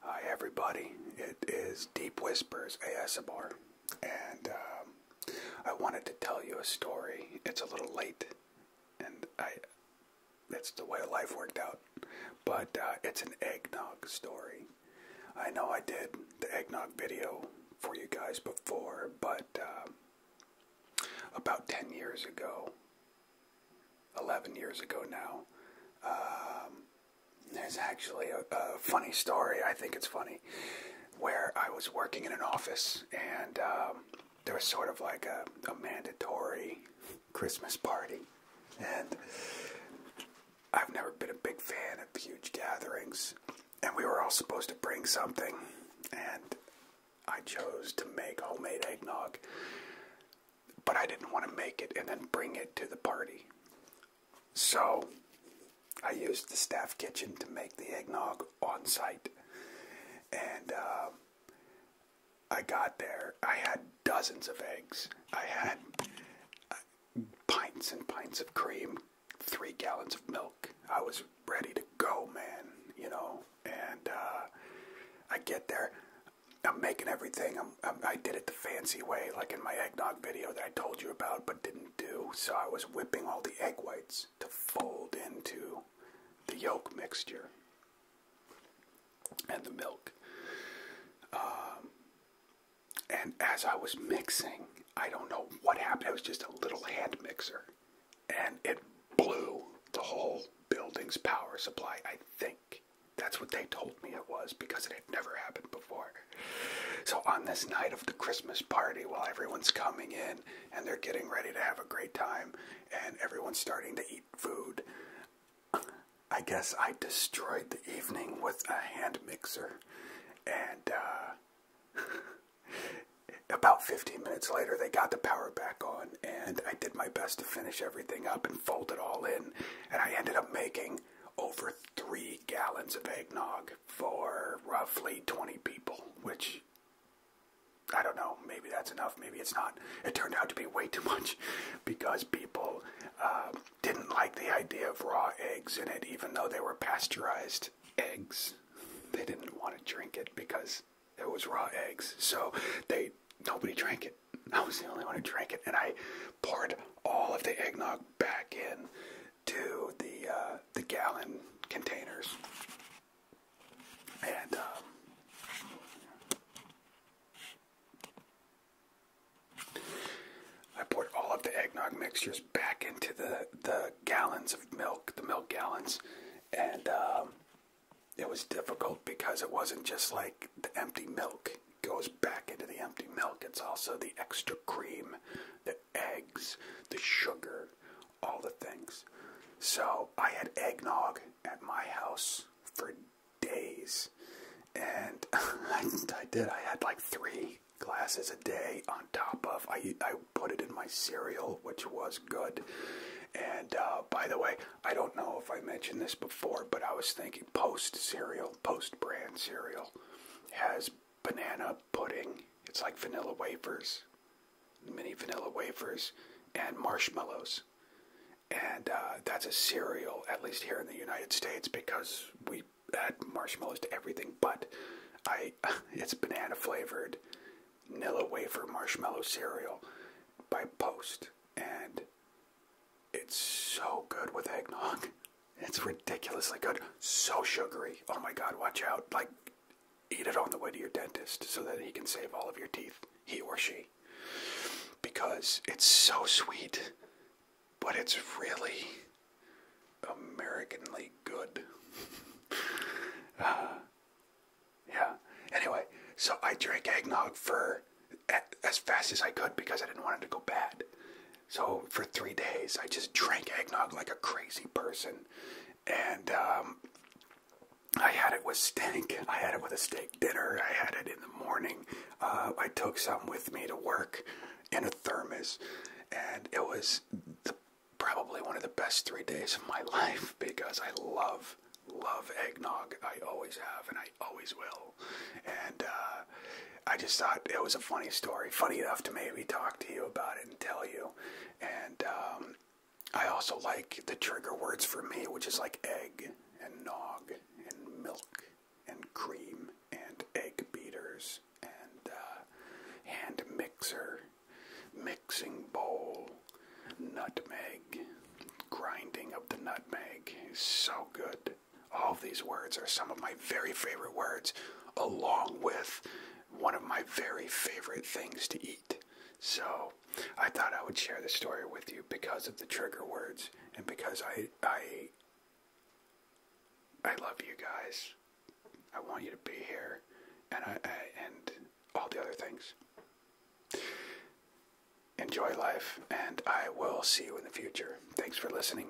Hi, everybody. It is Deep Whispers ASMR, and um, I wanted to tell you a story. It's a little late, and I. That's the way life worked out. But uh, it's an eggnog story. I know I did the eggnog video for you guys before, but um, about 10 years ago, 11 years ago now. Um, there's actually a, funny story, I think it's funny, where I was working in an office and um, there was sort of like a mandatory Christmas party. And I've never been a big fan of huge gatherings. And we were all supposed to bring something. And I chose to make homemade eggnog, but I didn't want to make it and then bring it to the party. So I used the staff kitchen to make the eggnog on site. And um, I got there. I had dozens of eggs. I had uh, pints and pints of cream, three gallons of milk. I was ready to go, man. You know, and uh, I get there. I'm making everything. I'm, I'm, I did it the fancy way, like in my eggnog video that I told you about, but didn't do. So I was whipping all the egg whites to fold into the yolk mixture and the milk. Um, and as I was mixing, I don't know what happened. It was just a little hand mixer and it blew the whole building's power supply. I think that's what they told me it was because it had never happened before. So, on this night of the Christmas party, while everyone's coming in and they're getting ready to have a great time and everyone's starting to eat food, I guess I destroyed the evening with a hand mixer and, uh, About 15 minutes later, they got the power back on, and I did my best to finish everything up and fold it all in. And I ended up making over three gallons of eggnog for roughly 20 people, which I don't know, maybe that's enough, maybe it's not. It turned out to be way too much because people um, didn't like the idea of raw eggs in it, even though they were pasteurized eggs. They didn't want to drink it because it was raw eggs. So they nobody drank it. I was the only one who drank it, and I poured all of the eggnog back in to the uh, the gallon containers. And um, I poured all of the eggnog mixtures back into the, the gallons of milk, the milk gallons, and um, it was difficult because it wasn't just like the empty milk goes back into the empty milk. It's also the extra cream, the eggs, the sugar, all the things. So I had eggnog at my house for days. And I, did. I had like three glasses a day on top of. I, I put it in my cereal, which was good. And uh, by the way, I don't know if I mentioned this before, but I was thinking Post cereal, Post brand cereal, has banana pudding. It's like vanilla wafers, mini vanilla wafers, and marshmallows and uh, that's a cereal, at least here in the United States, because we add marshmallows to everything. But I, it's banana flavored, Nilla wafer marshmallow cereal by Post, and it's so good with eggnog. It's ridiculously good, so sugary. Oh my God, watch out! Like, eat it on the way to your dentist so that he can save all of your teeth, he or she because it's so sweet, but it's really Americanly good. Uh, yeah. Anyway, so I drank eggnog for as fast as I could because I didn't want it to go bad. So for three days, I just drank eggnog like a crazy person, and um, I had it with steak. I had it with a steak dinner. I had it in the morning. Uh, I took some with me to work in a thermos, and it was probably one of the best three days of my life because I love love eggnog. I always have, and I always will. And uh, I just thought it was a funny story, funny enough to maybe talk to you about it and tell you. And um, I also like the trigger words for me, which is like egg and nog and milk and cream and egg beaters and uh, hand mixer, mixing bowl, nutmeg, grinding of the nutmeg is so good. All these words are some of my very favorite words, along with one of my very favorite things to eat. So I thought I would share the story with you because of the trigger words and because I I I love you guys. I want you to be here and I and all the other things. Enjoy life and I will see you in the future. Thanks for listening.